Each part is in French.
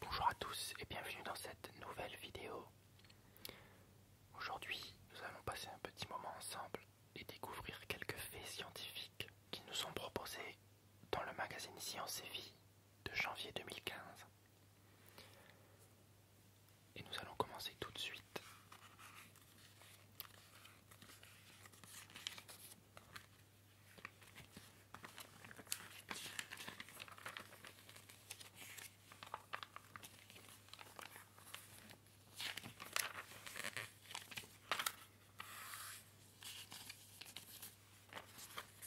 Bonjour à tous et bienvenue dans cette nouvelle vidéo. Aujourd'hui, nous allons passer un petit moment ensemble et découvrir quelques faits scientifiques qui nous sont proposés dans le magazine Science et Vie de janvier 2015. Et nous allons commencer tout de suite.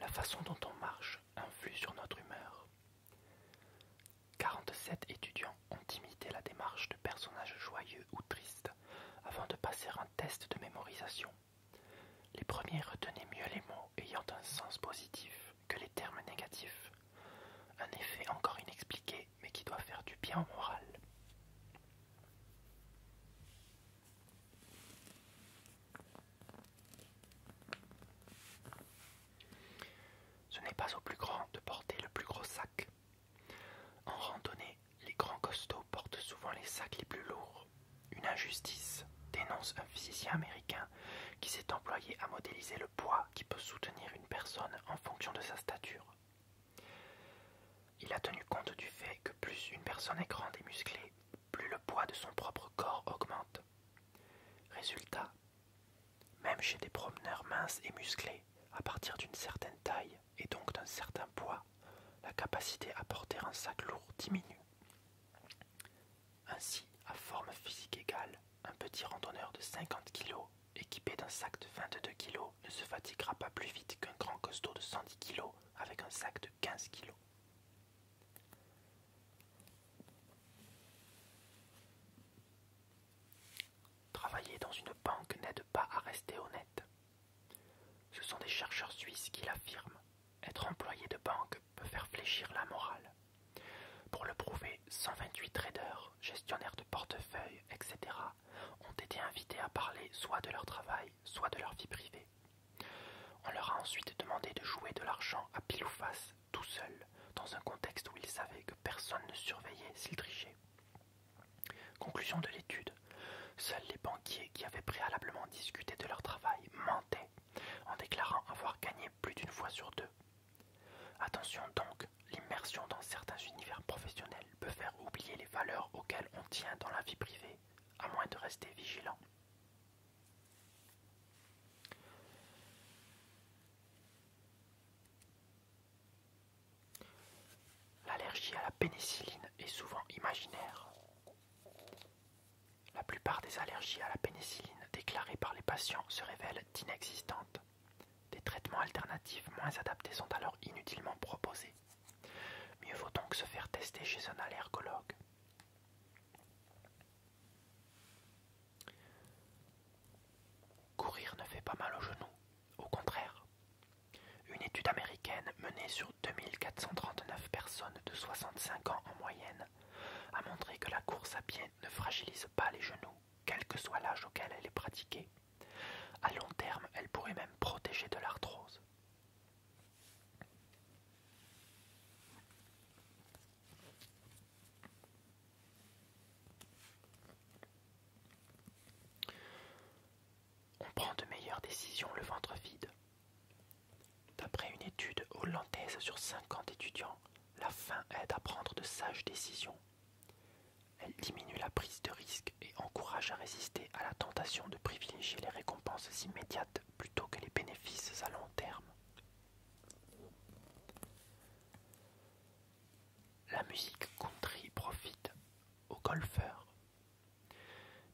La façon dont on marche influe sur notre humeur. 47 étudiants ont imité la démarche de personnages joyeux ou tristes avant de passer un test de mémorisation. Les premiers retenaient mieux les mots ayant un sens positif que les termes négatifs, un effet encore inexpliqué mais qui doit faire du bien au moral. Ce n'est pas au plus grand de porter le plus gros sac. En randonnée, les grands costauds portent souvent les sacs les plus lourds. Une injustice, dénonce un physicien américain qui s'est employé à modéliser le poids qui peut soutenir une personne en fonction de sa stature. Il a tenu compte du fait que plus une personne est grande et musclée, plus le poids de son propre corps augmente. Résultat, même chez des promeneurs minces et musclés, à partir d'une certaine taille et donc d'un certain poids, la capacité à porter un sac lourd diminue. Ainsi, à forme physique égale, un petit randonneur de 50 kg équipé d'un sac de 22 kg ne se fatiguera pas plus vite qu'un grand costaud de 110 kg avec un sac de 15 kg. Travailler dans une banque n'aide pas à rester honnête. Ce sont des chercheurs suisses qui l'affirment. Être employé de banque peut faire fléchir la morale. Pour le prouver, 128 traders, gestionnaires de portefeuilles, etc., ont été invités à parler soit de leur travail, soit de leur vie privée. On leur a ensuite demandé de jouer de l'argent à pile ou face, tout seul, dans un contexte où ils savaient que personne ne surveillait s'ils trichaient. Conclusion de l'étude. Seuls les banquiers qui avaient préalablement discuté de leur travail mentaient en déclarant avoir gagné plus d'une fois sur deux. Attention donc, l'immersion dans certains univers professionnels peut faire oublier les valeurs auxquelles on tient dans la vie privée, à moins de rester vigilant. L'allergie à la pénicilline est souvent imaginaire. La plupart des allergies à la pénicilline déclarées par les patients se révèlent inexistantes. Des traitements alternatifs moins adaptés sont alors inutilement proposés. Mieux vaut donc se faire tester chez un allergologue. Courir ne fait pas mal aux genoux, au contraire. Une étude américaine menée sur 2439 personnes de 65 ans en moyenne a montré que la course à pied ne fragilise pas les genoux, quel que soit l'âge auquel elle est pratiquée. À long terme, elle pourrait même protéger de l'arthrose. On prend de meilleures décisions le ventre vide. D'après une étude hollandaise sur 50 étudiants, la faim aide à prendre de sages décisions. Elle diminue la prise de risque et encourage à résister à la tentation de privilégier les récompenses immédiates plutôt que les bénéfices à long terme. La musique country profite aux golfeurs,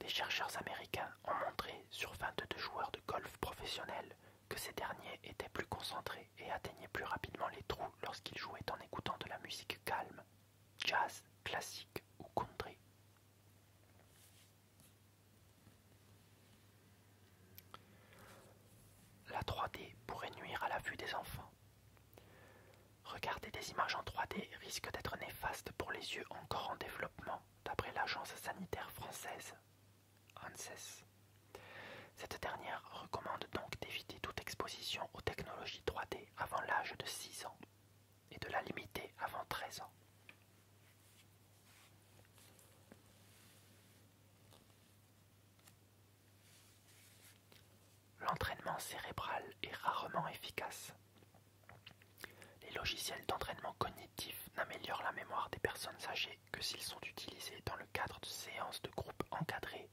des chercheurs américains ont montré sur 22 joueurs de golf professionnels que ces derniers étaient plus concentrés et atteignaient plus rapidement les trous lorsqu'ils jouaient en écoutant de la musique calme, jazz, classique ou country. La 3D pourrait nuire à la vue des enfants. Regarder des images en 3D risque d'être néfaste pour les yeux encore en développement d'après l'Agence sanitaire française, ANSES. E cette dernière recommande donc d'éviter toute exposition aux technologies 3D avant l'âge de 6 ans et de la limiter avant 13 ans. L'entraînement cérébral est rarement efficace. Les logiciels d'entraînement cognitif n'améliorent la mémoire des personnes âgées que s'ils sont utilisés dans le cadre de séances de groupe encadrées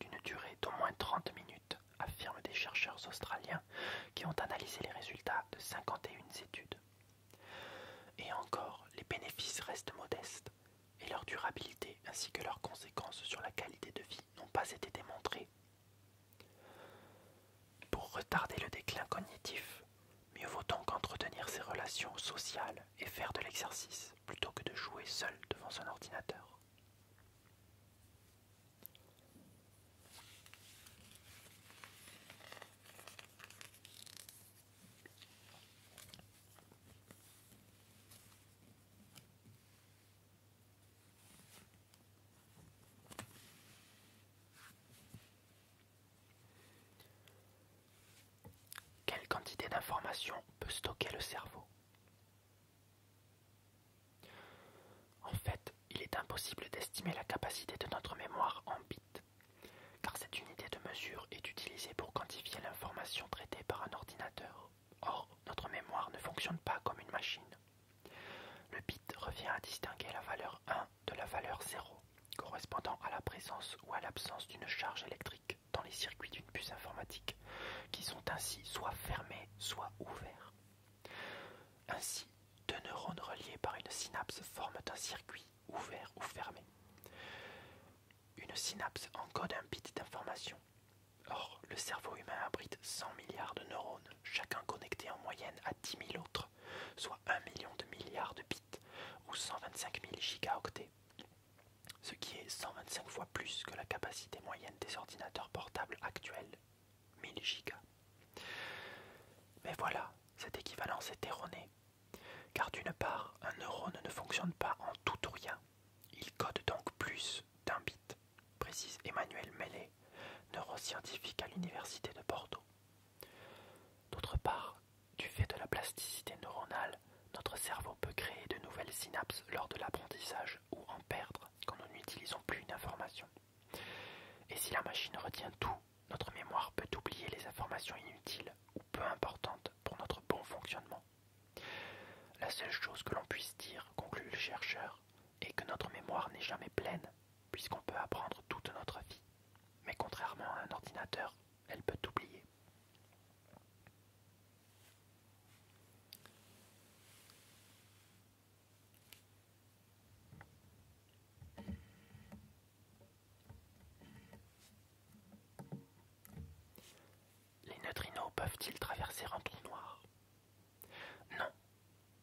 d'une durée d'au moins 30 minutes, affirment des chercheurs australiens qui ont analysé les résultats de 51 études. Et encore, les bénéfices restent modestes et leur durabilité ainsi que leurs conséquences sur la qualité de vie n'ont pas été démontrées. Pour retarder le déclin cognitif, mieux vaut donc entretenir ses relations sociales et faire de l'exercice plutôt que de jouer seul devant son ordinateur. Quelle quantité d'information peut stocker le cerveau En fait, il est impossible d'estimer la capacité de notre mémoire en bits, car cette unité de mesure est utilisée pour quantifier l'information traitée par un ordinateur. Or, notre mémoire ne fonctionne pas comme une machine. Le bit revient à distinguer la valeur de la valeur 0, correspondant à la présence ou à l'absence d'une charge électrique dans les circuits d'une puce informatique, qui sont ainsi soit fermés, soit ouverts. Ainsi, deux neurones reliés par une synapse forment un circuit ouvert ou fermé. Une synapse encode un bit d'information. Or, le cerveau humain abrite 100 milliards de neurones, chacun connecté en moyenne à 10 000 autres soit 1 million de milliards de bits ou 125 000 gigaoctets, ce qui est 125 fois plus que la capacité moyenne des ordinateurs portables actuels, 1000 gigas. Mais voilà, cette équivalence est erronée, car d'une part, un neurone ne fonctionne pas en tout ou rien, il code donc plus d'un bit, précise Emmanuel Mellet, neuroscientifique à l'Université de Bordeaux. D'autre part, du fait de la plasticité neuronale, notre cerveau peut créer de nouvelles synapses lors de l'apprentissage ou en perdre quand nous n'utilisons plus une information. Et si la machine retient tout, notre mémoire peut oublier les informations inutiles ou peu importantes pour notre bon fonctionnement. La seule chose que l'on puisse dire, conclut le chercheur, est que notre mémoire n'est jamais pleine, puisqu'on peut apprendre toute notre vie, mais contrairement à un ordinateur, elle peut oublier. Les neutrinos peuvent-ils traverser un trou noir Non,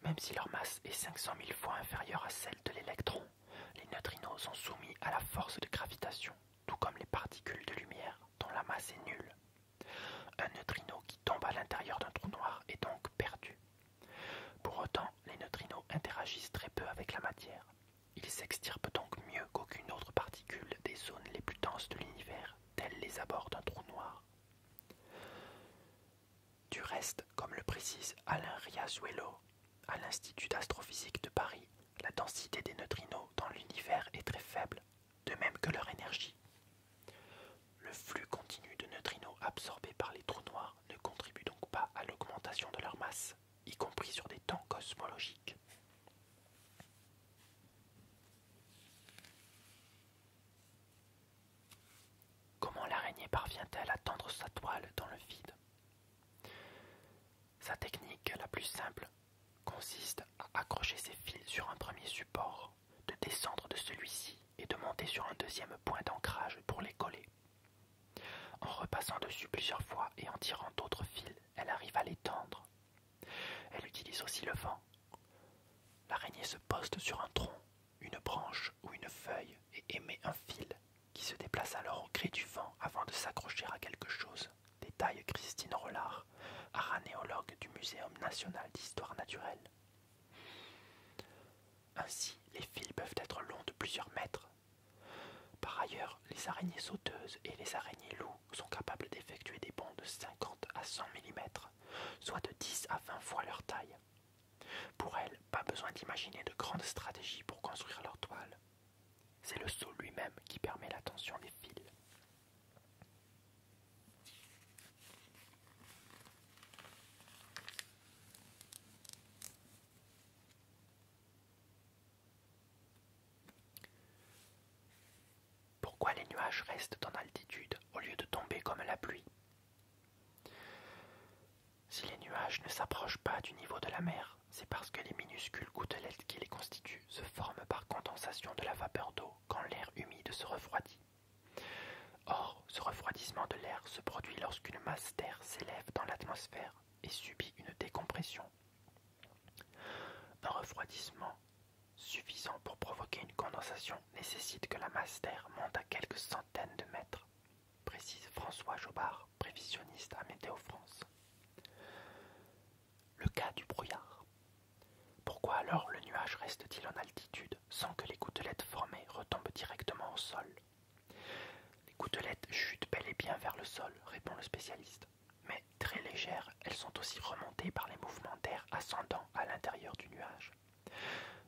même si leur masse est 500 000 fois inférieure à celle de l'électron, les neutrinos sont soumis à la force de gravitation, tout comme les particules de lumière dont la masse est nulle. Un neutrino qui tombe à l'intérieur d'un trou noir est donc perdu. Pour autant, les neutrinos interagissent très peu avec la matière. Ils s'extirpent donc mieux qu'aucune autre particule des zones les plus denses de l'univers, telles les abords d'un trou noir. Du reste, comme le précise Alain Riazuelo à l'Institut d'astrophysique de Paris, la densité des neutrinos dans l'univers est très faible, de même que leur énergie. Le flux continu de neutrinos absorbés par les trous noirs ne contribue donc pas à l'augmentation de leur masse, y compris sur des temps cosmologiques. Comment l'araignée parvient-elle à tendre sa toile dans le vide Sa technique la plus simple consiste à accrocher ses fils sur un premier support, de descendre de celui-ci et de monter sur un deuxième point d'ancrage pour les coller. En repassant dessus plusieurs fois et en tirant d'autres fils, elle arrive à les tendre. Elle utilise aussi le vent. L'araignée se poste sur un tronc une branche ou une feuille et émet un fil qui se déplace alors au gré du vent avant de s'accrocher à quelque chose. Détaille Christine Rollard, aranéologue du Muséum national d'histoire naturelle. Ainsi, les fils peuvent être longs de plusieurs mètres. Par ailleurs, les araignées sauteuses et les araignées loups sont capables d'effectuer des bonds de 50 à 100 mm, soit de 10 à 20 fois leur taille. Pour elles, pas besoin d'imaginer de grandes stratégies pour construire leur toile. C'est le seau lui-même qui permet la tension des fils. Pourquoi les nuages restent en altitude au lieu de tomber comme la pluie si les nuages ne s'approchent pas du niveau de la mer, c'est parce que les minuscules gouttelettes qui les constituent se forment par condensation de la vapeur d'eau quand l'air humide se refroidit. Or, ce refroidissement de l'air se produit lorsqu'une masse d'air s'élève dans l'atmosphère et subit une décompression. Un refroidissement suffisant pour provoquer une condensation nécessite que la masse d'air monte à quelques centaines de mètres précise François Jobard, prévisionniste à Météo France. Le cas du brouillard. Pourquoi alors le nuage reste-t-il en altitude sans que les gouttelettes formées retombent directement au sol Les gouttelettes chutent bel et bien vers le sol, répond le spécialiste, mais très légères, elles sont aussi remontées par les mouvements d'air ascendant à l'intérieur du nuage.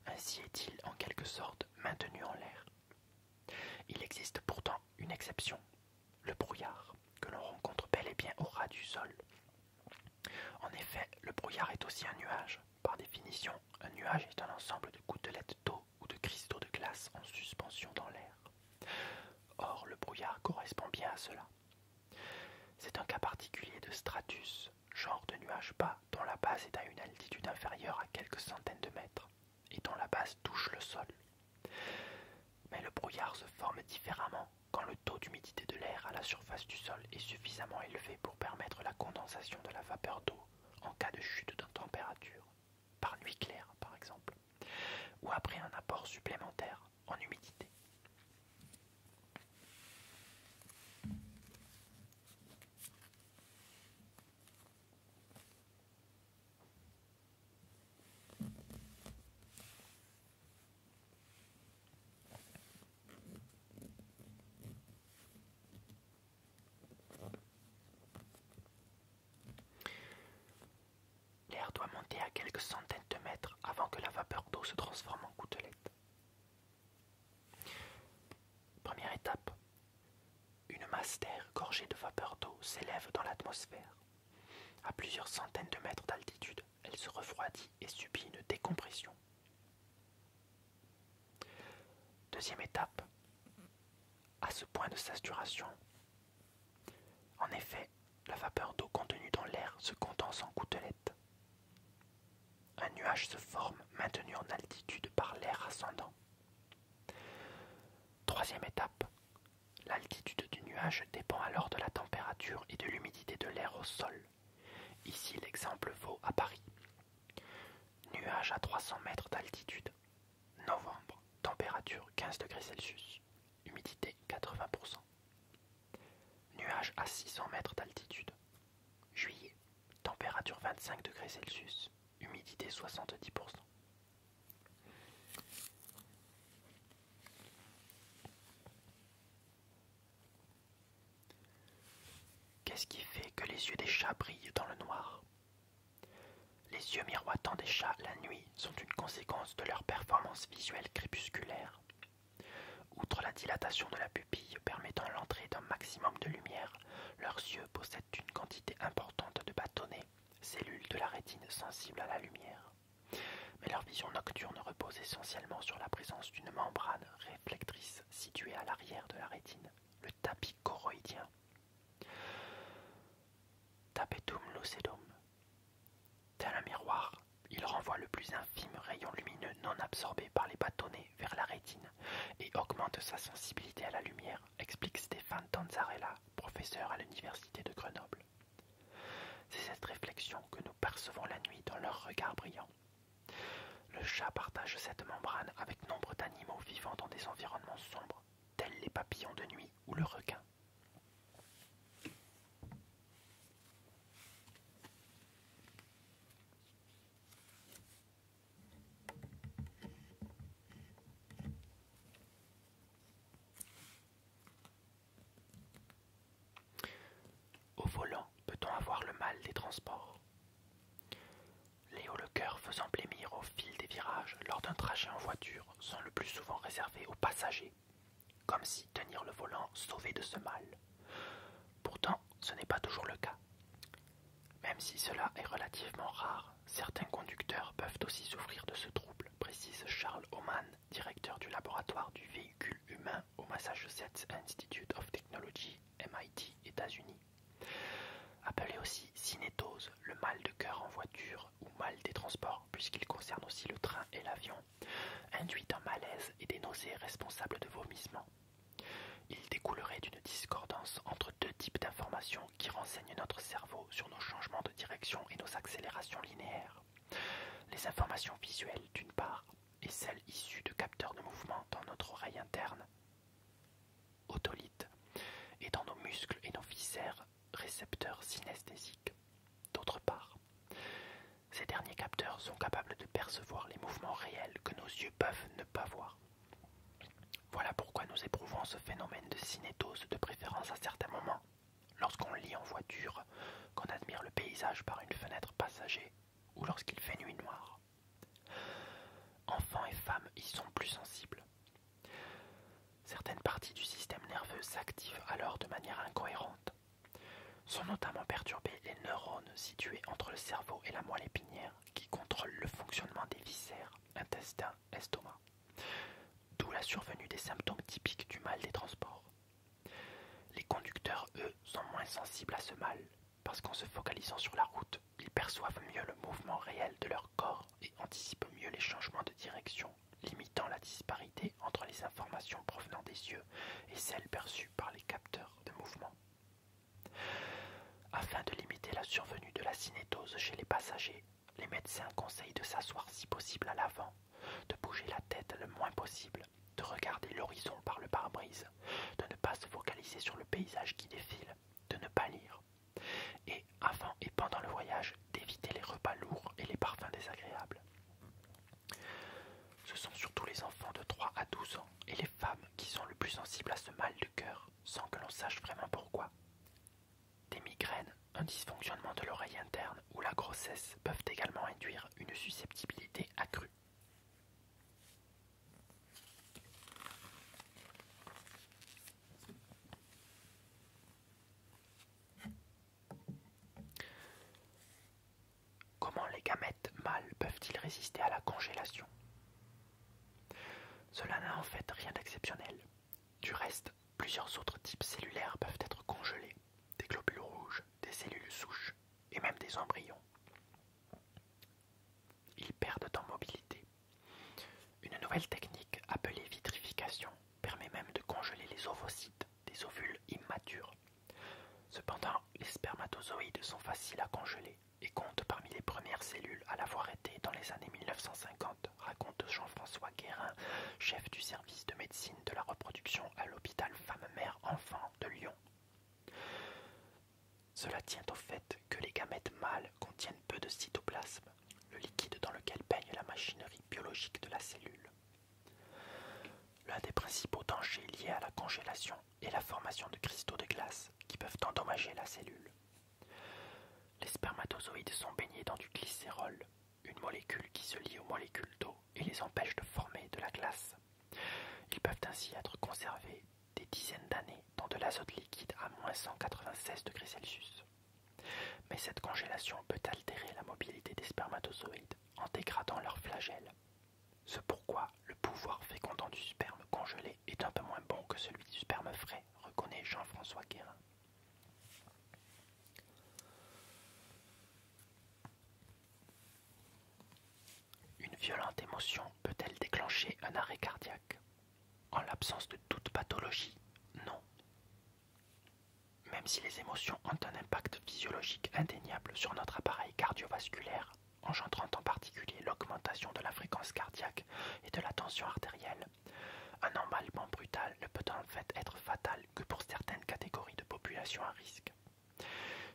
Ainsi est-il en quelque sorte maintenu en l'air. Il existe pourtant une exception, le brouillard, que l'on rencontre bel et bien au ras du sol. En effet, le brouillard est aussi un nuage. Par définition, un nuage est un ensemble de gouttelettes d'eau ou de cristaux de glace en suspension dans l'air. Or, le brouillard correspond bien à cela. C'est un cas particulier de stratus, genre de nuage bas dont la base est à une altitude inférieure à quelques centaines de mètres, et dont la base touche le sol. Mais le brouillard se forme différemment quand le taux d'humidité de l'air à la surface du sol est suffisamment élevé pour permettre la condensation de la vapeur d'eau en cas de chute de température, par nuit claire par exemple, ou après un apport supplémentaire en humidité. L'air doit monter à quelques centaines de mètres avant que la vapeur d'eau se transforme en gouttelettes. Première étape, une masse d'air gorgée de vapeur d'eau s'élève dans l'atmosphère. À plusieurs centaines de mètres d'altitude, elle se refroidit et subit une décompression. Deuxième étape, à ce point de saturation. En effet, la vapeur d'eau contenue dans l'air se condense en gouttelettes. Un nuage se forme maintenu en altitude par l'air ascendant. Troisième étape. L'altitude du nuage dépend alors de la température et de l'humidité de l'air au sol. Ici, l'exemple vaut à Paris. Nuage à 300 mètres d'altitude. Novembre. Température 15 degrés Celsius. Humidité 80%. Nuage à 600 mètres d'altitude. Juillet. Température 25 degrés Celsius humidité 70%. Qu'est-ce qui fait que les yeux des chats brillent dans le noir Les yeux miroitants des chats la nuit sont une conséquence de leur performance visuelle crépusculaire. Outre la dilatation de la pupille permettant l'entrée d'un maximum de lumière, leurs yeux possèdent une quantité importante de bâtonnets, cellules de la rétine sensibles à la lumière. Mais leur vision nocturne repose essentiellement sur la présence d'une membrane réflectrice située à l'arrière de la rétine, le tapis choroïdien. Tapetum lucidum. Tel un miroir, il renvoie le plus infime rayon lumineux non absorbé par les bâtonnets vers la rétine et augmente sa sensibilité à la lumière explique Stéphane Tanzarella, professeur à l'université de Grenoble. C'est cette réflexion que nous percevons la nuit dans leur regard brillant. Le chat partage cette membrane avec nombre d'animaux vivant dans des environnements sombres, tels les papillons de nuit ou le requin. Au volant, peut-on avoir le mal des transports Léo Coeur faisant blêmir au fil des virages lors d'un trajet en voiture sont le plus souvent réservés aux passagers, comme si tenir le volant sauvait de ce mal. Pourtant, ce n'est pas toujours le cas. Même si cela est relativement rare, certains conducteurs peuvent aussi souffrir de ce trouble, précise Charles Oman, directeur du laboratoire du véhicule humain au Massachusetts Institute of Technology, MIT, États-Unis. Appelé aussi cinétose, le mal de cœur en voiture ou mal des transports, puisqu'il concerne aussi le train et l'avion, induit un malaise et des nausées responsables de vomissements. Il découlerait d'une discordance entre deux types d'informations qui renseignent notre cerveau sur nos changements de direction et nos accélérations linéaires. Les informations visuelles d'une part et celles issues de capteurs de mouvement dans notre oreille interne, otolite, et dans nos muscles et nos viscères, récepteurs synesthésiques, d'autre part. Ces derniers capteurs sont capables de percevoir les mouvements réels que nos yeux peuvent ne pas voir. Voilà pourquoi nous éprouvons ce phénomène de cinétose de préférence à certains moments, lorsqu'on lit en voiture, qu'on admire le paysage par une fenêtre passager ou lorsqu'il fait nuit noire. Enfants et femmes y sont plus sensibles. Certaines parties du système nerveux s'activent alors de manière incohérente. Sont notamment perturbés les neurones situés entre le cerveau et la moelle épinière qui contrôlent le fonctionnement des viscères, intestins, estomac d'où la survenue des symptômes typiques du mal des transports. Les conducteurs, eux, sont moins sensibles à ce mal, parce qu'en se focalisant sur la route, ils perçoivent mieux le mouvement réel de leur corps et anticipent mieux les changements de direction, limitant la disparité entre les informations provenant des yeux et celles perçues par les capteurs de mouvement. Afin de limiter la survenue de la cinétose chez les passagers, les médecins conseillent de s'asseoir si possible à l'avant, de bouger la tête le moins possible, de regarder l'horizon par le pare-brise, de ne pas se focaliser sur le paysage qui défile, de ne pas lire, et avant et pendant le voyage, d'éviter les repas lourds et les parfums désagréables. Ce sont surtout les enfants de 3 à 12 ans et les femmes qui sont le plus sensibles à ce mal du cœur, sans que l'on sache vraiment pourquoi. Des migraines, un dysfonctionnement de l'oreille interne ou la grossesse peuvent également induire une susceptibilité accrue. Comment les gamètes mâles peuvent-ils résister à la congélation Cela n'a en fait rien d'exceptionnel. Du reste, plusieurs autres types cellulaires peuvent être congelés, des globules rouges, des cellules souches et même des embryons. Ils perdent en mobilité. Une nouvelle technique appelée vitrification permet même de congeler les ovocytes, des ovules immatures. Cependant, les spermatozoïdes sont faciles à congeler et comptent parmi les premières cellules à l'avoir été dans les années 1950 raconte Jean-François Guérin, chef du service de médecine de la reproduction à l'hôpital Femme-Mère-Enfant de Lyon. Cela tient au fait que les gamètes mâles contiennent peu de cytoplasme, le liquide dans lequel baigne la machinerie biologique de la cellule. L'un des principaux dangers liés à la congélation est la formation de cristaux de glace qui peuvent endommager la cellule. Les spermatozoïdes sont baignés dans du glycérol, une molécule qui se lie aux molécules d'eau et les empêche de former de la glace. Ils peuvent ainsi être conservés des dizaines d'années dans de l'azote liquide à moins 196 degrés Celsius. Mais cette congélation peut altérer la mobilité des spermatozoïdes en dégradant leur flagelle. Ce pourquoi le pouvoir fécondant du sperme congelé est un peu moins bon que celui du sperme frais, reconnaît Jean-François Guérin. Une violente émotion peut-elle déclencher un arrêt cardiaque En l'absence de toute pathologie, non. Même si les émotions ont un impact physiologique indéniable sur notre appareil cardiovasculaire, engendrant en particulier l'augmentation de la fréquence cardiaque et de la tension artérielle, un emballement brutal ne peut en fait être fatal que pour certaines catégories de population à risque.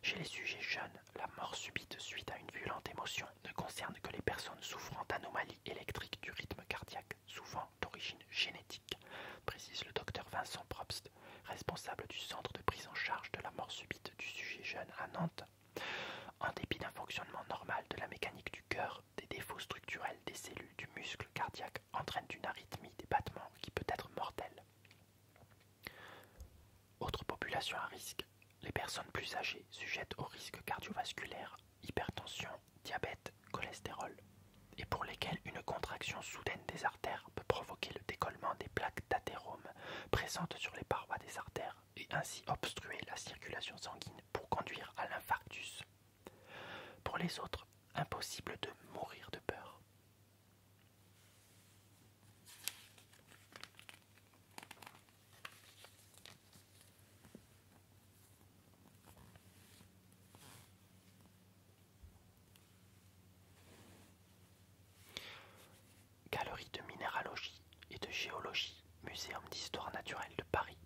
Chez les sujets jeunes, la mort subite suite à une violente émotion ne concerne que les personnes souffrant d'anomalies électriques du rythme cardiaque, souvent d'origine génétique, précise le docteur Vincent Probst, responsable du centre de prise en charge de la mort subite du sujet jeune à Nantes. En dépit d'un fonctionnement normal de la mécanique du cœur, des défauts structurels des cellules du muscle cardiaque entraînent une arythmie des battements qui peut être mortelle. Autre population à risque, les personnes plus âgées sujettes aux risques cardiovasculaires, hypertension, diabète, cholestérol, et pour lesquelles une contraction soudaine des artères peut provoquer le décollement des plaques d'athérome présentes sur les parois des artères et ainsi obstruer la circulation sanguine pour conduire à l'infarctus. Pour les autres, impossible de mourir de peur. Galerie de minéralogie et de géologie, Muséum d'histoire naturelle de Paris,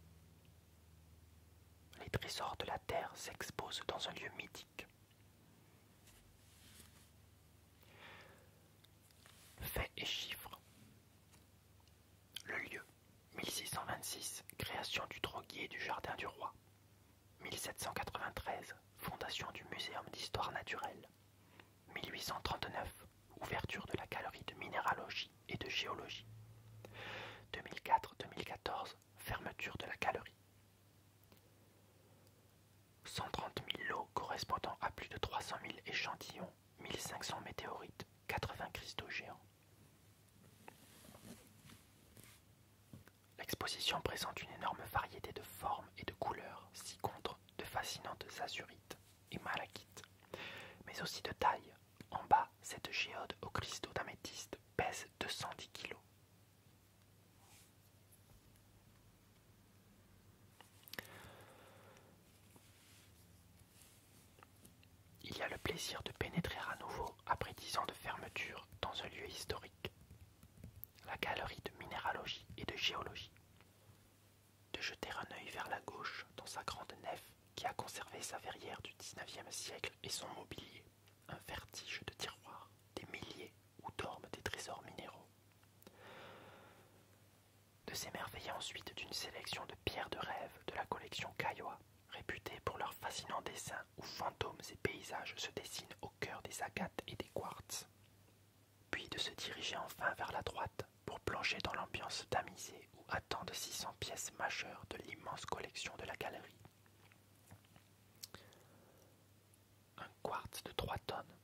les trésors de la terre s'exposent dans un lieu mythique. Faits et chiffres. Le lieu 1626, création du droguier du jardin du roi. 1793, fondation du muséum d'histoire naturelle. 1839, ouverture de la galerie de minéralogie et de géologie. 2004-2014, fermeture de la galerie. 130 000 lots correspondant à plus de 300 000 échantillons, 1500 météorites, 80 cristaux géants. L'exposition présente une énorme variété de formes et de couleurs, si contre de fascinantes azurites et malachites, mais aussi de tailles, en bas, cette géode aux cristaux d'améthyste pèse 210 kg. Il y a le plaisir de pénétrer à nouveau, après dix ans de fermeture, dans un lieu historique. La galerie de minéralogie et de géologie. De jeter un œil vers la gauche dans sa grande nef qui a conservé sa verrière du XIXe siècle et son mobilier, un vertige de tiroirs, des milliers où dorment des trésors minéraux. De s'émerveiller ensuite d'une sélection de pierres de rêve de la collection Caillois, réputée pour leurs fascinants dessins où fantômes et paysages se dessinent au cœur des agates et des quartz. Puis de se diriger enfin vers la droite pour plonger dans l'ambiance tamisée où attendent 600 pièce majeure de l'immense collection de la galerie. Un quartz de 3 tonnes.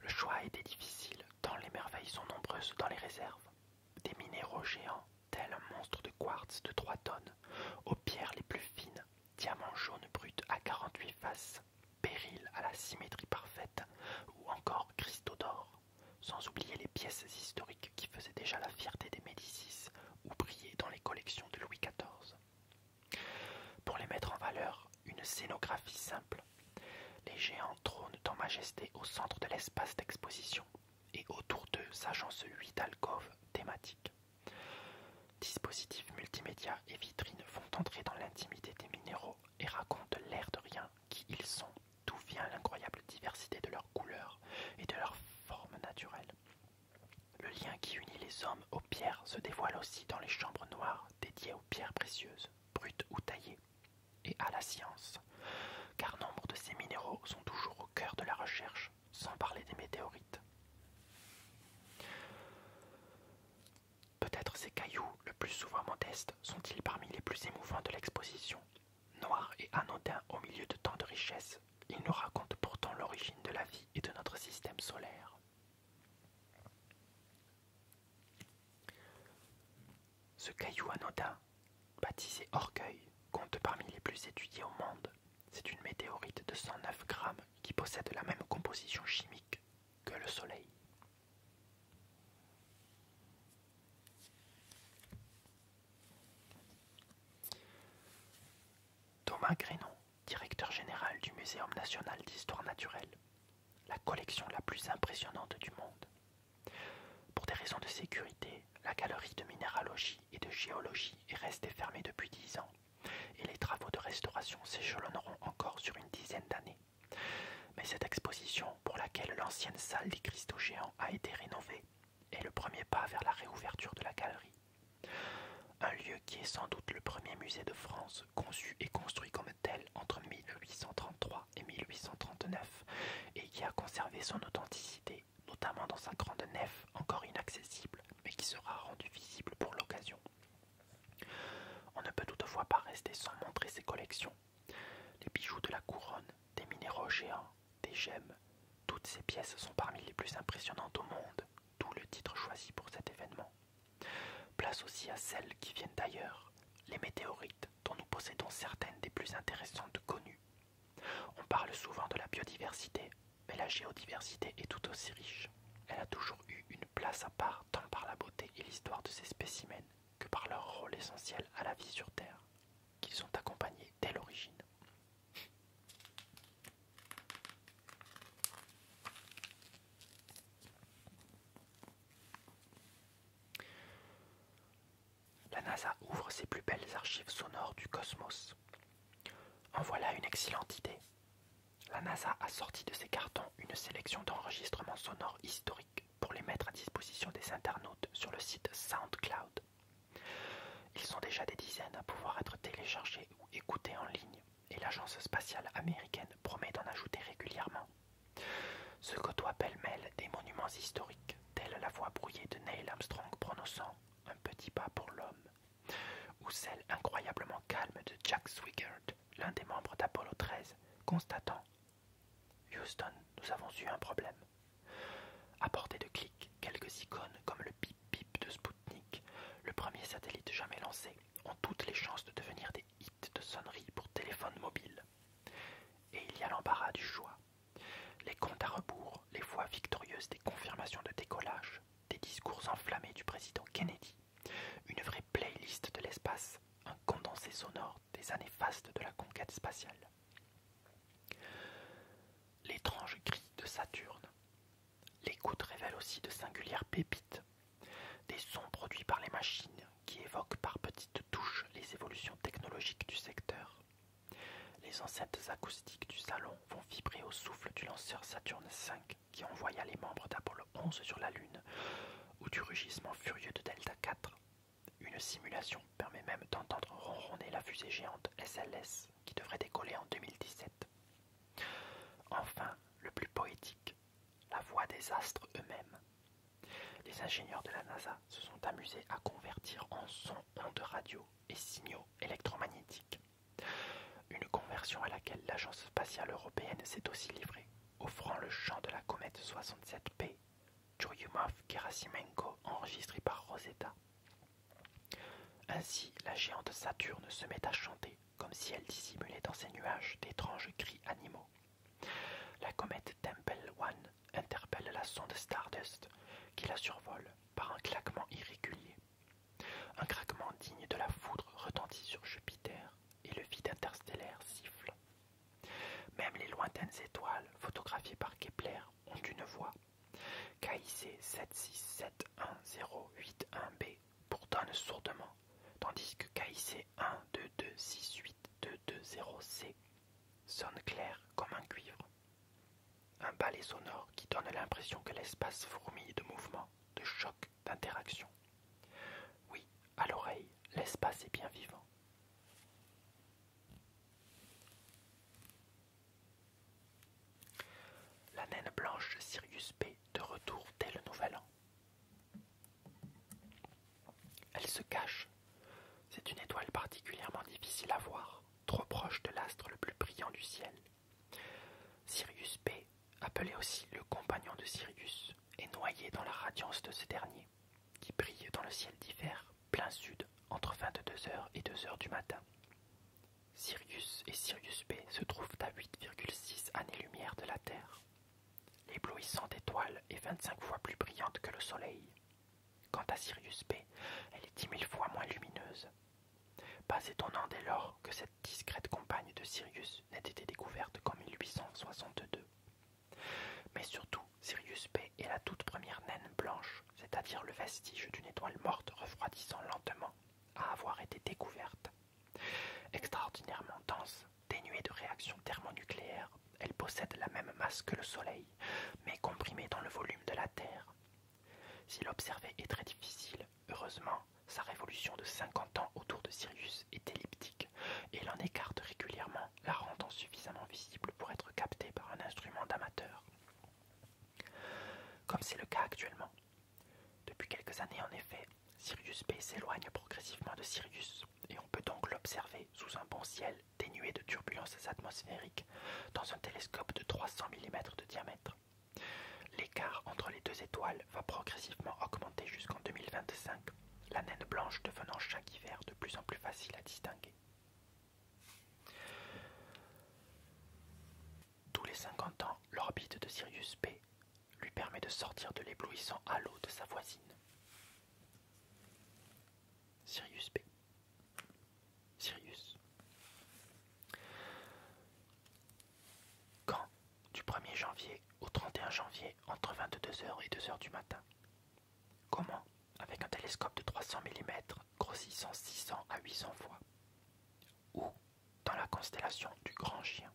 Le choix a difficile tant les merveilles sont nombreuses dans les réserves. Des minéraux géants, tels un monstre de quartz de 3 tonnes, aux pierres les plus fines, diamants jaunes bruts à 48 faces, périls à la symétrie parfaite, ou encore cristaux d'or sans oublier les pièces historiques qui faisaient déjà la fierté des Médicis ou brillaient dans les collections de Louis XIV. Pour les mettre en valeur, une scénographie simple. Les géants trônent en majesté au centre de l'espace d'exposition et autour d'eux s'agencent huit alcôves thématiques. Dispositifs multimédia et vitrines font entrer dans l'intimité des minéraux et racontent l'air de rien qui ils sont d'où vient l'incroyable diversité de leurs couleurs et de leurs formes naturelles. Le lien qui unit les hommes aux pierres se dévoile aussi dans les chambres noires dédiées aux pierres précieuses, brutes ou taillées, et à la science, car nombre de ces minéraux sont toujours au cœur de la recherche, sans parler des météorites. Peut-être ces cailloux, le plus souvent modestes, sont-ils parmi les plus émouvants de l'exposition, Noir et anodin au milieu de tant de richesses, il nous raconte pourtant l'origine de la vie et de notre système solaire. Ce caillou anodin, baptisé Orgueil, compte parmi les plus étudiés au monde. C'est une météorite de 109 grammes qui possède la même composition chimique que le Soleil. Thomas Grenon, directeur général du Muséum national d'histoire naturelle, la collection la plus impressionnante du monde. Pour des raisons de sécurité, la galerie de minéralogie et de géologie est restée fermée depuis dix ans, et les travaux de restauration s'échelonneront encore sur une dizaine d'années. Mais cette exposition, pour laquelle l'ancienne salle des cristaux géants a été rénovée, est le premier pas vers la réouverture de la galerie. Un lieu qui est sans doute le premier musée de France conçu et construit comme tel entre 1833 et 1839 et qui a conservé son authenticité, notamment dans sa grande nef encore inaccessible mais qui sera rendue visible pour l'occasion. On ne peut toutefois pas rester sans montrer ses collections. Les bijoux de la couronne, des minéraux géants, des gemmes. Toutes ces pièces sont parmi les plus impressionnantes au monde, d'où le titre choisi pour cet événement. Place aussi à celles qui viennent d'ailleurs, les météorites dont nous possédons certaines des plus intéressantes connues. On parle souvent de la biodiversité, mais la géodiversité est tout aussi riche. Elle a toujours eu une place à part tant par la beauté et l'histoire de ses spécimens que par leur rôle essentiel à la vie sur Terre qui sont accompagnés dès l'origine. La NASA ouvre ses plus belles archives sonores du cosmos. En voilà une excellente idée. La NASA a sorti de ses cartons une sélection d'enregistrements sonores historiques pour les mettre à disposition des internautes sur le site SoundCloud. Ils sont déjà des dizaines à pouvoir être téléchargés ou écoutés en ligne, et l'agence spatiale américaine promet d'en ajouter régulièrement. Ce côtoient pêle-mêle des monuments historiques, tels la voix brouillée de Neil Armstrong prononçant un petit pas pour l'homme, ou celle incroyablement calme de Jack Swigert, l'un des membres d'Apollo 13, constatant Houston, nous avons eu un problème. À portée de clic, quelques icônes comme le pip-pip de Spoutnik, le premier satellite jamais lancé, ont toutes les chances de devenir des hits de sonnerie pour téléphone mobiles. Et il y a l'embarras du choix. Les comptes à rebours, les voix victorieuses des confirmations de décollage, des discours enflammés du président Kennedy, une vraie playlist de l'espace, un condensé sonore des années fastes de la conquête spatiale. L'étrange gris de Saturne. l'écoute révèle aussi de singulières pépites, des sons produits par les machines qui évoquent par petites touches les évolutions technologiques du secteur. Les enceintes acoustiques du salon vont vibrer au souffle du lanceur Saturne V qui envoya les membres d'Apollo 11 sur la Lune, ou du rugissement furieux de Delta 4, une simulation permet même d'entendre ronronner la fusée géante SLS qui devrait décoller en 2017. Enfin, le plus poétique, la voix des astres eux-mêmes. Les ingénieurs de la NASA se sont amusés à convertir en son ondes radio et signaux électromagnétiques. Une conversion à laquelle l'Agence spatiale européenne s'est aussi livrée, offrant le chant de la comète 67P, Churyumov-Gerasimenko, enregistré par Rosetta. Ainsi la géante Saturne se met à chanter, comme si elle dissimulait dans ses nuages d'étranges cris animaux. La comète Temple One interpelle la sonde Stardust, qui la survole par un claquement irrégulier. Un craquement digne de la foudre retentit sur Jupiter, et le vide interstellaire siffle. Même les lointaines étoiles photographiées par Kepler ont une voix KIC 7671081 b le sourdement, tandis que KIC 12268220 c sonne clair comme un cuivre. Un ballet sonore qui donne l'impression que l'espace fourmille de mouvements, de chocs, d'interactions. Oui, à l'oreille, l'espace est bien vivant. La naine blanche Sirius B de retour dès le nouvel an. Elle se cache. C'est une étoile particulièrement difficile à voir, trop proche de l'astre le plus brillant du ciel. Sirius B, appelé aussi le compagnon de Sirius, est noyé dans la radiance de ce dernier, qui brille dans le ciel d'hiver plein sud, entre 22h et 2h du matin. Sirius et Sirius B se trouvent à 8,6 années-lumière de la Terre, l'éblouissante étoile est 25 fois plus brillante que le Soleil. Quant à Sirius B, elle est dix mille fois moins lumineuse. Pas étonnant dès lors que cette discrète compagne de Sirius n'ait été découverte qu'en 1862. Mais surtout, Sirius B et la toute première naine blanche, c'est-à-dire le vestige d'une étoile morte refroidissant lentement, à avoir été découverte. Extraordinairement dense, dénuée de réactions thermonucléaires, elle possède la même masse que le Soleil, mais comprimée dans le volume de la Terre. Si l'observer est très difficile, heureusement, sa révolution de 50 ans autour de Sirius est elliptique et l'en écarte régulièrement, la rendant suffisamment visible pour être captée par un instrument d'amateur. Comme c'est le cas actuellement. Depuis quelques années en effet, Sirius B s'éloigne progressivement de Sirius et on peut donc l'observer sous un bon ciel dénué de turbulences atmosphériques dans un télescope de 300 mm de diamètre. L'écart entre les deux étoiles va progressivement augmenter jusqu'en 2025, la naine blanche devenant chaque hiver de plus en plus facile à distinguer. Tous les 50 ans, l'orbite de Sirius B lui permet de sortir de l'éblouissant halo de sa voisine. Sirius B. Sirius. Quand Du 1er janvier au 31 janvier, entre 22h et 2h du matin. Comment Avec un télescope de 300 mm, grossissant 600 à 800 fois, ou dans la constellation du Grand Chien.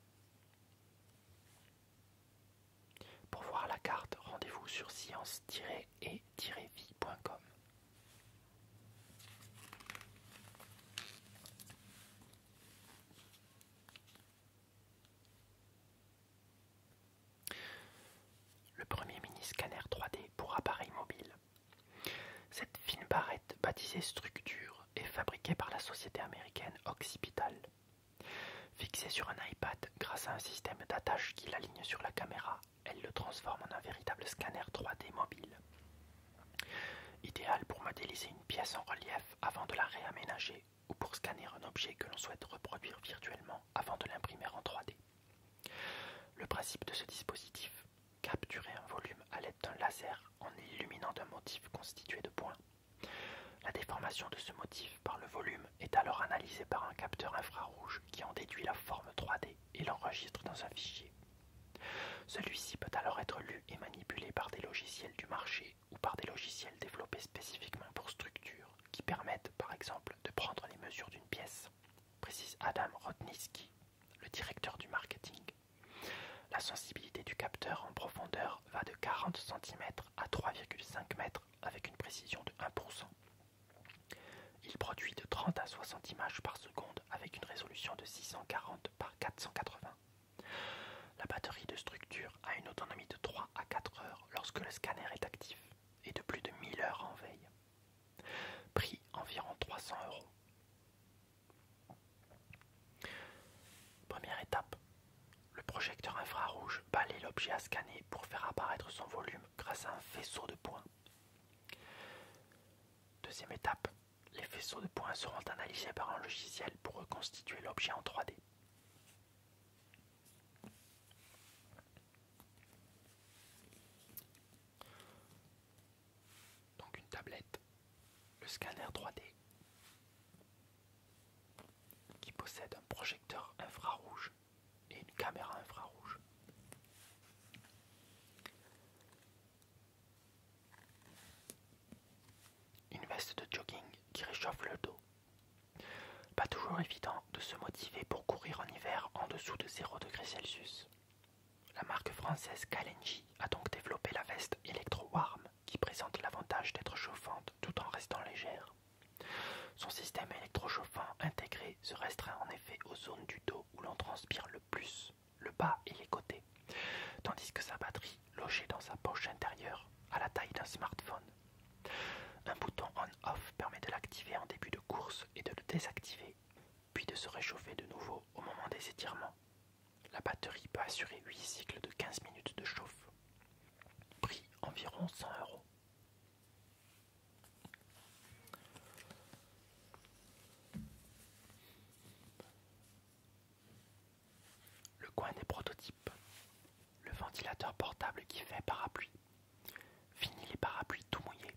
Pour voir la carte, rendez-vous sur science-et-vie.com. Le premier mini-scanner 3D pour appareil mobile. Cette fine barrette, baptisée structure, est fabriquée par la société américaine Occipital. Fixée sur un iPad grâce à un système d'attache qui l'aligne sur la caméra, elle le transforme en un véritable scanner 3D mobile. Idéal pour modéliser une pièce en relief avant de la réaménager ou pour scanner un objet que l'on souhaite reproduire virtuellement avant de l'imprimer en 3D. Le principe de ce dispositif, capturer un volume à l'aide d'un laser en illuminant d'un motif constitué de points. La déformation de ce motif par le volume est alors analysée par un capteur infrarouge qui en déduit la forme 3D et l'enregistre dans un fichier. Celui-ci peut alors être lu et manipulé par des logiciels du marché ou par des logiciels développés spécifiquement pour structures qui permettent par exemple de prendre les mesures d'une pièce précise Adam Rotnitsky, le directeur du marketing. La sensibilité du capteur en profondeur va de 40 cm à 3,5 m avec une précision de 1%. Il produit de 30 à 60 images par seconde avec une résolution de 640 par 480. La batterie de structure a une autonomie de 3 à 4 heures lorsque le scanner est actif et de plus de 1000 heures en veille. Prix environ 300 euros. Première étape. Le projecteur infrarouge balaye l'objet à scanner pour faire apparaître son volume grâce à un faisceau de points. Deuxième étape. Les faisceaux de points seront analysés par un logiciel pour reconstituer l'objet en 3D donc une tablette, le scanner 3D qui possède un projecteur infrarouge et une caméra infrarouge. Une veste de jogging qui réchauffe le dos. Pas toujours évident de se motiver pour courir en hiver en dessous de 0 degrés Celsius. La marque française Kalenji a donc développé la veste Electro Warm qui présente l'avantage d'être chauffante tout en restant légère. Son système électrochauffant intégré se restreint en effet aux zones du dos où l'on transpire le plus, le bas et les côtés, tandis que sa batterie, logée dans sa poche intérieure, a la taille d'un smartphone. Un bouton on-off permet de l'activer en début de course et de le désactiver, puis de se réchauffer de nouveau au moment des étirements. La batterie peut assurer 8 cycles de 15 minutes de chauffe. Prix environ 100 euros. Le coin des prototypes. Le ventilateur portable qui fait parapluie. Fini les parapluies tout mouillés.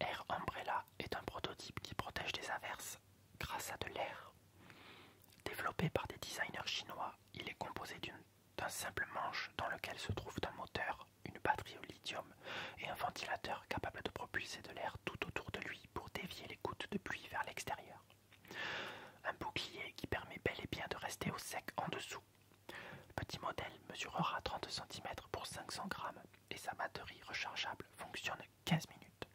Air Umbrella est un prototype qui protège des averses grâce à de l'air. Développé par des designers chinois, il est composé d'un simple manche dans lequel se trouve un moteur, une batterie au lithium et un ventilateur capable de propulser de l'air tout autour de lui pour dévier les gouttes de pluie vers l'extérieur. Un bouclier qui permet bel et bien de rester au sec en dessous. Le petit modèle mesurera 30 cm pour 500 grammes et sa batterie rechargeable fonctionne 15 minutes.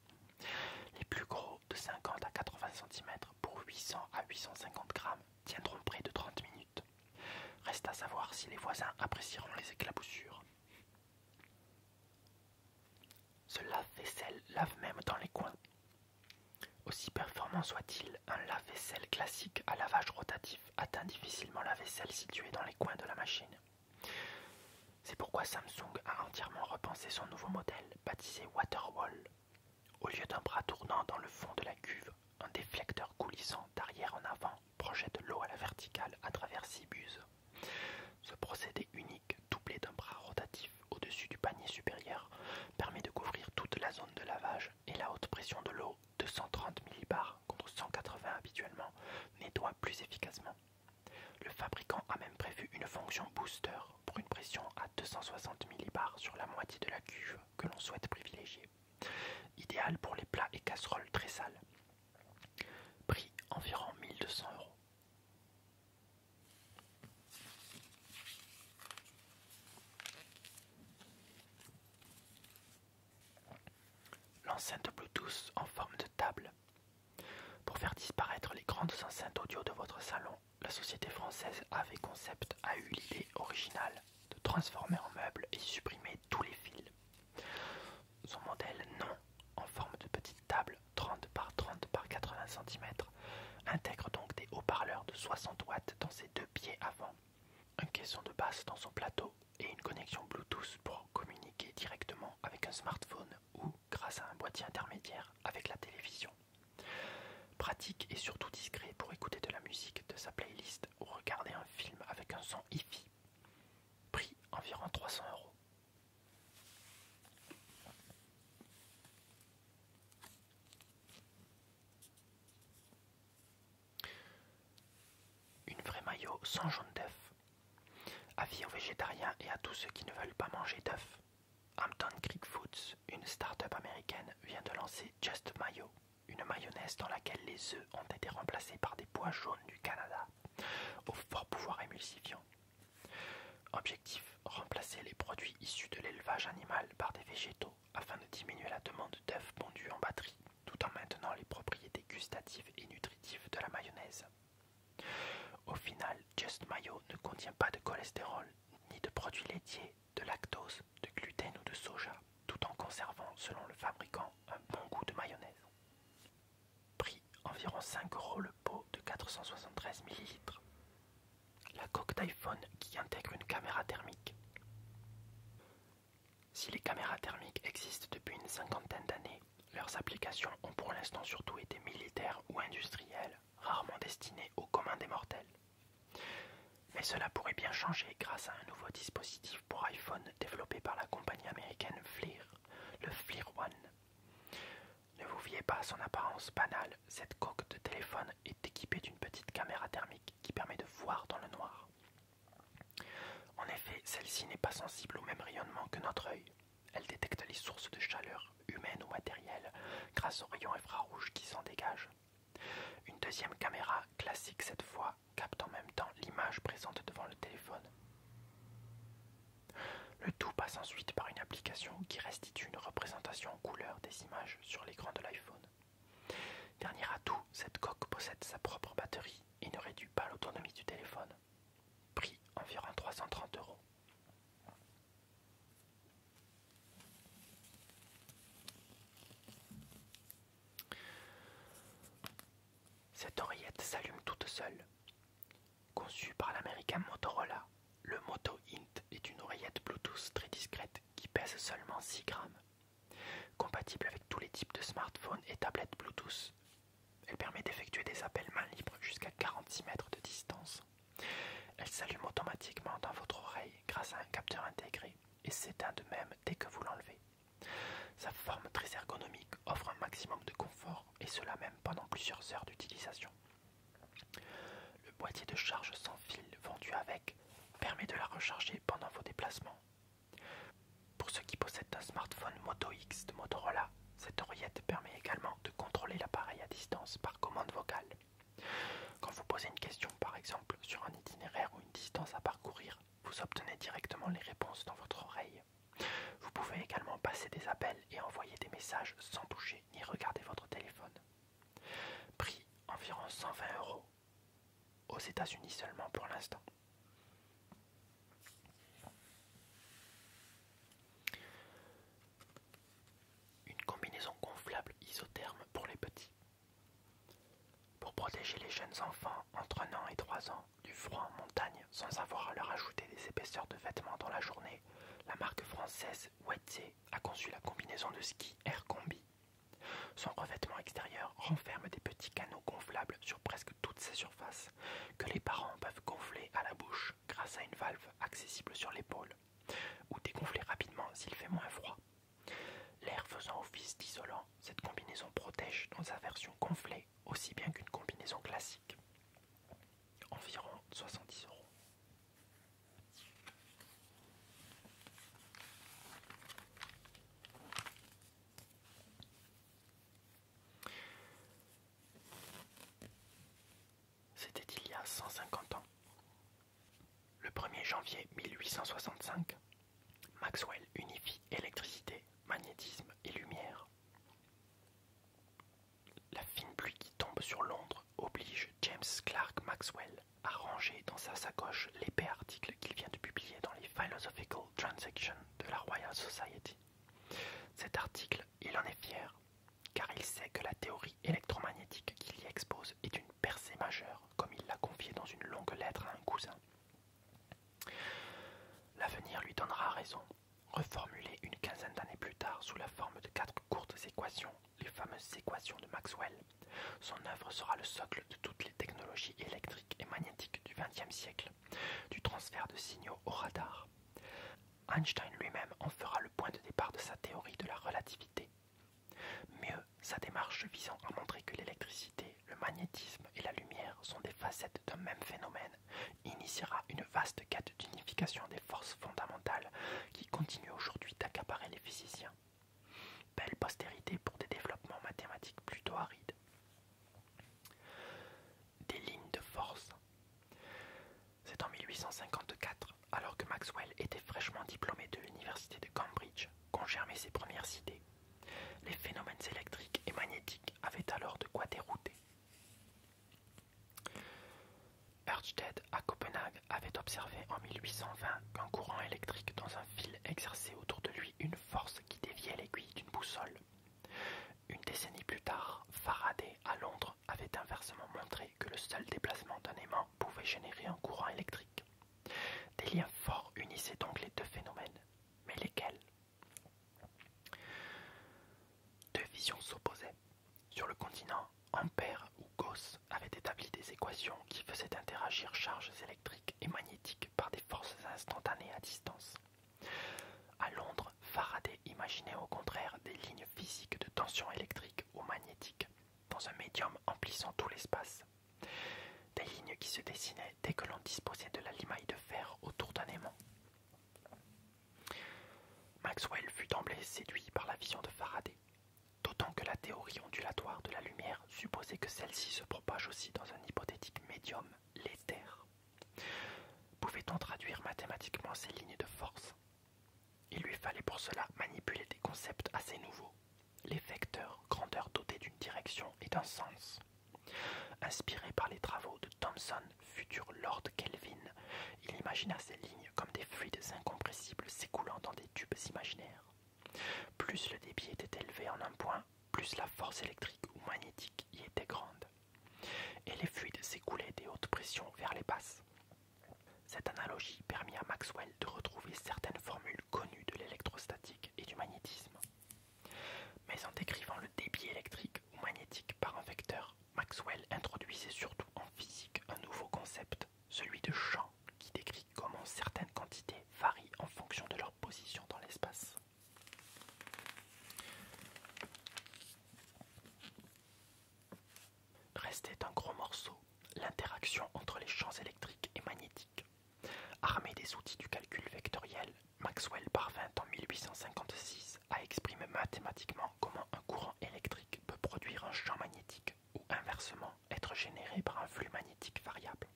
Les plus gros de 50 à 80 cm pour 800 à 850 grammes tiendront près de 30 minutes. Reste à savoir si les voisins apprécieront les éclaboussures. Ce lave-vaisselle lave même dans les coins. Aussi performant soit-il, un lave-vaisselle classique à lavage rotatif atteint difficilement la vaisselle située dans les coins de la machine. C'est pourquoi Samsung a entièrement repensé son nouveau modèle, baptisé Waterwall. Au lieu d'un bras tournant dans le fond de la cuve, un déflecteur coulissant d'arrière en avant projette l'eau à la verticale à travers six buses. Ce procédé unique, doublé d'un bras rotatif au-dessus du panier supérieur, permet de couvrir toute la zone de lavage et la haute pression de l'eau, de 130 millibars contre 180 habituellement, nettoie plus efficacement. Le fabricant a même prévu une fonction booster pour une pression à 260 millibars sur la moitié de la cuve que l'on souhaite privilégier, idéal pour les plats et casseroles très sales. Prix environ 1200 euros. L'enceinte Bluetooth en forme de table. Pour faire disparaître les grandes enceintes audio de votre salon, la société française AV Concept a eu l'idée originale de transformer en meuble et supprimer tous les fils. Son modèle non, en forme de petite table 30 par 30 par 80 cm, intègre donc des haut-parleurs de 60 watts dans ses deux pieds avant, un caisson de basse dans son plateau et une connexion Bluetooth pour communiquer directement avec un smartphone ou grâce à un boîtier intermédiaire avec la télévision. Pratique et surtout discret pour écouter de la musique de sa playlist ou regarder un film avec un son hi-fi. Prix environ 300 euros. Une vraie maillot sans jaune d'œuf Avis aux végétariens et à tous ceux qui ne veulent pas manger d'œufs. Hampton Creek Foods, une start-up américaine, vient de lancer Just Mayo, une mayonnaise dans laquelle les œufs ont été remplacés par des pois jaunes du Canada, au fort pouvoir émulsifiant. Objectif remplacer les produits issus de l'élevage animal par des végétaux afin de diminuer la demande d'œufs pondus en batterie, tout en maintenant les propriétés gustatives et nutritives de la mayonnaise. Au final, Just Mayo ne contient pas de cholestérol, ni de produits laitiers, de lactose, de gluten ou de soja, tout en conservant, selon le fabricant, un bon goût de mayonnaise. Prix environ 5 euros le pot de 473 ml. La coque d'iPhone qui intègre une caméra thermique. Si les caméras thermiques existent depuis une cinquantaine d'années, leurs applications ont pour l'instant surtout été militaires ou industrielles, rarement destinées aux commun des mortels. Mais cela pourrait bien changer grâce à un nouveau dispositif pour iPhone développé par la compagnie américaine FLIR, le FLIR One. Ne vous fiez pas à son apparence banale, cette coque de téléphone est équipée d'une petite caméra thermique qui permet de voir dans le noir. En effet, celle-ci n'est pas sensible au même rayonnement que notre œil. Elle détecte les sources de chaleur, humaines ou matérielles, grâce aux rayons infrarouges qui s'en dégagent. Une deuxième caméra, classique cette fois, capte en même temps l'image présente devant le téléphone. Le tout passe ensuite par une application qui restitue une représentation en couleur des images sur l'écran de l'iPhone. Dernier atout, cette coque possède sa propre batterie et ne réduit pas l'autonomie du téléphone prix environ 330 euros. Cette oreillette s'allume toute seule. Conçue par l'américain Motorola, le Moto Int est une oreillette Bluetooth très discrète qui pèse seulement 6 grammes. Compatible avec tous les types de smartphones et tablettes Bluetooth, elle permet d'effectuer des appels mains libres jusqu'à 46 mètres de distance. Elle s'allume automatiquement dans votre oreille grâce à un capteur intégré et s'éteint de même dès que vous l'enlevez. Sa forme très ergonomique offre un maximum de confort et cela même pendant plusieurs heures d'utilisation. Le boîtier de charge sans fil vendu avec permet de la recharger pendant vos déplacements. Pour ceux qui possèdent un smartphone Moto X de Motorola, cette oreillette permet également de contrôler l'appareil à distance par commande vocale. Quand vous posez une question, par exemple, sur un itinéraire ou une distance à parcourir, vous obtenez directement les réponses dans votre oreille. Vous pouvez également passer des appels et envoyer des messages sans toucher ni regarder votre téléphone. Prix environ 120 euros. Aux États-Unis seulement pour l'instant. Une combinaison gonflable isotherme pour les petits. Pour protéger les jeunes enfants entre 1 et 3 ans du froid en montagne sans avoir à leur ajouter des épaisseurs de vêtements dans la journée, la marque française Wetsy a conçu la combinaison de ski Air Combi. Son revêtement extérieur renferme des petits canaux gonflables sur presque toutes ces surfaces, que les parents peuvent gonfler à la bouche grâce à une valve accessible sur l'épaule, ou dégonfler rapidement s'il fait moins froid. L'air faisant office d'isolant, cette combinaison protège dans sa version gonflée aussi bien qu'une combinaison classique. Environ 70 euros. C'était il y a 150 ans. Le 1er janvier 1865, Maxwell unifie électricité, magnétisme et lumière. La fine pluie qui tombe sur Londres oblige James Clark Maxwell à ranger dans sa sacoche l'épais article qu'il vient de publier dans les Philosophical Transactions de la Royal Society. Cet article, il en est fier, car il sait que la théorie électromagnétique qu'il y expose est une percée majeure, comme il l'a confiée dans une longue lettre à un cousin. L'avenir lui donnera raison, reformulée une quinzaine d'années plus tard sous la forme de quatre courtes équations, les fameuses équations de Maxwell. Son œuvre sera le socle de toutes les technologies électriques et magnétiques du XXe siècle, du transfert de signaux au radar Einstein lui-même en fera le point de départ de sa théorie de la relativité. Mieux, sa démarche visant à montrer que l'électricité, le magnétisme et la lumière sont des facettes d'un même phénomène initiera une vaste quête d'unification des forces fondamentales qui continue aujourd'hui d'accaparer les physiciens. Belle postérité pour des développements mathématiques plutôt arides des lignes de force. C'est en 1854, alors que Maxwell était fraîchement diplômé de l'université de Cambridge, qu'on germait ses premières idées. Les phénomènes électriques et magnétiques avaient alors de quoi dérouter. Ørsted à Copenhague avait observé en 1820 qu'un courant électrique dans un fil exerçait autour de lui une force qui déviait l'aiguille d'une boussole. Une décennie plus tard, Faraday à Londres avait inversement montré que le seul déplacement d'un aimant pouvait générer un courant électrique. Des liens forts unissaient donc les deux phénomènes, mais lesquels Deux visions s'opposaient. Sur le continent, Ampère ou Gauss avaient établi des équations qui faisaient interagir charges électriques et magnétiques par des forces instantanées à distance. À Londres, Faraday imaginait au contraire des lignes physiques de tension électrique ou magnétique dans un médium emplissant tout l'espace. Des lignes qui se dessinaient dès que l'on disposait de la limaille de fer autour d'un aimant. Maxwell fut d'emblée séduit par la vision de Faraday, d'autant que la théorie ondulatoire de la lumière supposait que celle-ci se propage aussi dans un hypothétique médium, l'éther. Pouvait-on traduire mathématiquement ces lignes de force Il lui fallait pour cela manipuler des concepts assez nouveaux, les vecteurs, grandeurs dotés d'une direction et d'un sens. Inspiré par les travaux de Thomson, futur Lord Kelvin, il imagina ces lignes comme des fluides incompressibles s'écoulant dans des tubes imaginaires. Plus le débit était élevé en un point, plus la force électrique ou magnétique y était grande et les fluides s'écoulaient des hautes pressions vers les basses. Cette analogie permit à Maxwell de retrouver certaines formules connues de l'électrostatique et du magnétisme. Mais en décrivant le débit électrique ou magnétique par un vecteur, Maxwell introduisait surtout en physique un nouveau concept, celui de champ, qui décrit comment certaines quantités varient en fonction de leur position dans l'espace. Restait un gros morceau, l'interaction entre les champs électriques et magnétiques. Armé des outils du calcul vectoriel, Maxwell parvint en 1856 à exprimer mathématiquement comment un courant électrique peut produire un champ magnétique ou inversement être généré par un flux magnétique variable.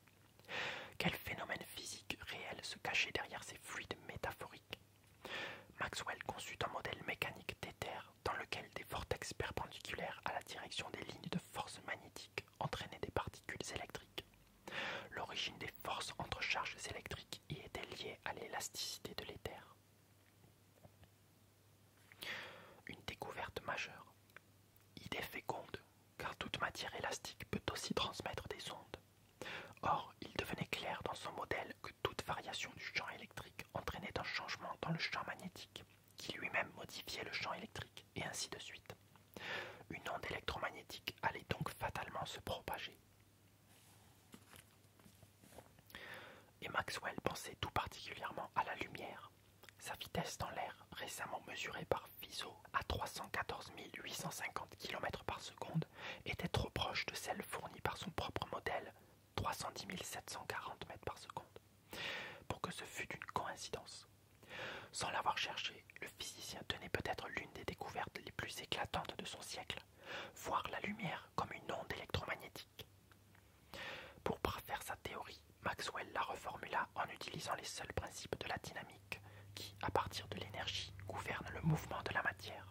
Quel phénomène physique réel se cachait derrière ces fluides métaphoriques Maxwell conçut un modèle mécanique d'éther dans lequel des vortex perpendiculaires à la direction des lignes de force magnétique entraînaient des particules électriques. L'origine des forces entre charges électriques y était liée à l'élasticité de l'éther. Une découverte majeure. Idée féconde, car toute matière élastique peut aussi transmettre des ondes. Or, il devenait clair dans son modèle que toute variation du champ électrique entraînait un changement dans le champ magnétique, qui lui-même modifiait le champ électrique, et ainsi de suite. Une onde électromagnétique allait donc fatalement se propager. Et Maxwell pensait tout particulièrement à la lumière. Sa vitesse dans l'air, récemment mesurée par FISO à 314 850 km par seconde, était trop proche de celle fournie par son propre modèle, 310 740 mètres par seconde, pour que ce fût une coïncidence. Sans l'avoir cherché, le physicien tenait peut-être l'une des découvertes les plus éclatantes de son siècle, voir la lumière comme une onde électromagnétique. Pour parfaire sa théorie, Maxwell la reformula en utilisant les seuls principes de la dynamique qui, à partir de l'énergie, gouvernent le mouvement de la matière.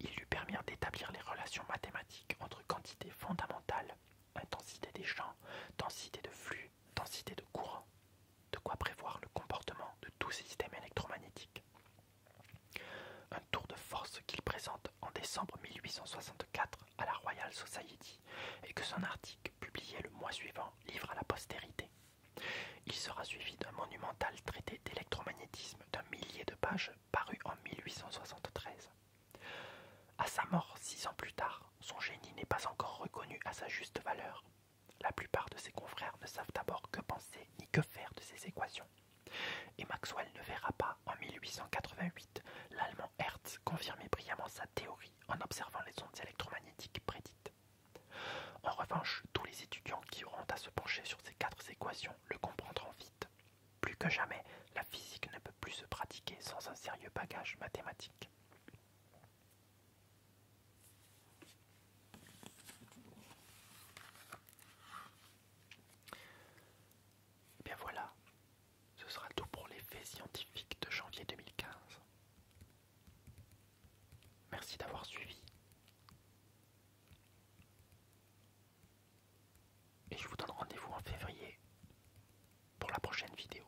Il lui permit d'établir les relations mathématiques entre quantités fondamentales, intensité des champs, densité de flux, densité de courant, de quoi prévoir le comportement de tous ces systèmes électromagnétiques. Un tour de force qu'il présente en décembre 1864 à la Royal Society et que son article, publié le mois suivant, livre à la postérité. Il sera suivi d'un monumental traité d'électromagnétisme d'un millier de pages paru en 1873. À sa mort six ans plus tard, son génie n'est pas encore reconnu à sa juste valeur. La plupart de ses confrères ne savent d'abord que penser ni que faire de ces équations. Et Maxwell ne verra pas en 1888 l'allemand Hertz confirmer brillamment sa théorie en observant les ondes électromagnétiques prédites. En revanche, tous les étudiants qui auront à se pencher sur ces quatre équations le comprendront vite. Plus que jamais, la physique ne peut plus se pratiquer sans un sérieux bagage mathématique. Et eh bien voilà, ce sera tout pour les faits scientifiques de janvier 2015. Merci d'avoir suivi. Et je vous donne rendez-vous en février pour la prochaine vidéo.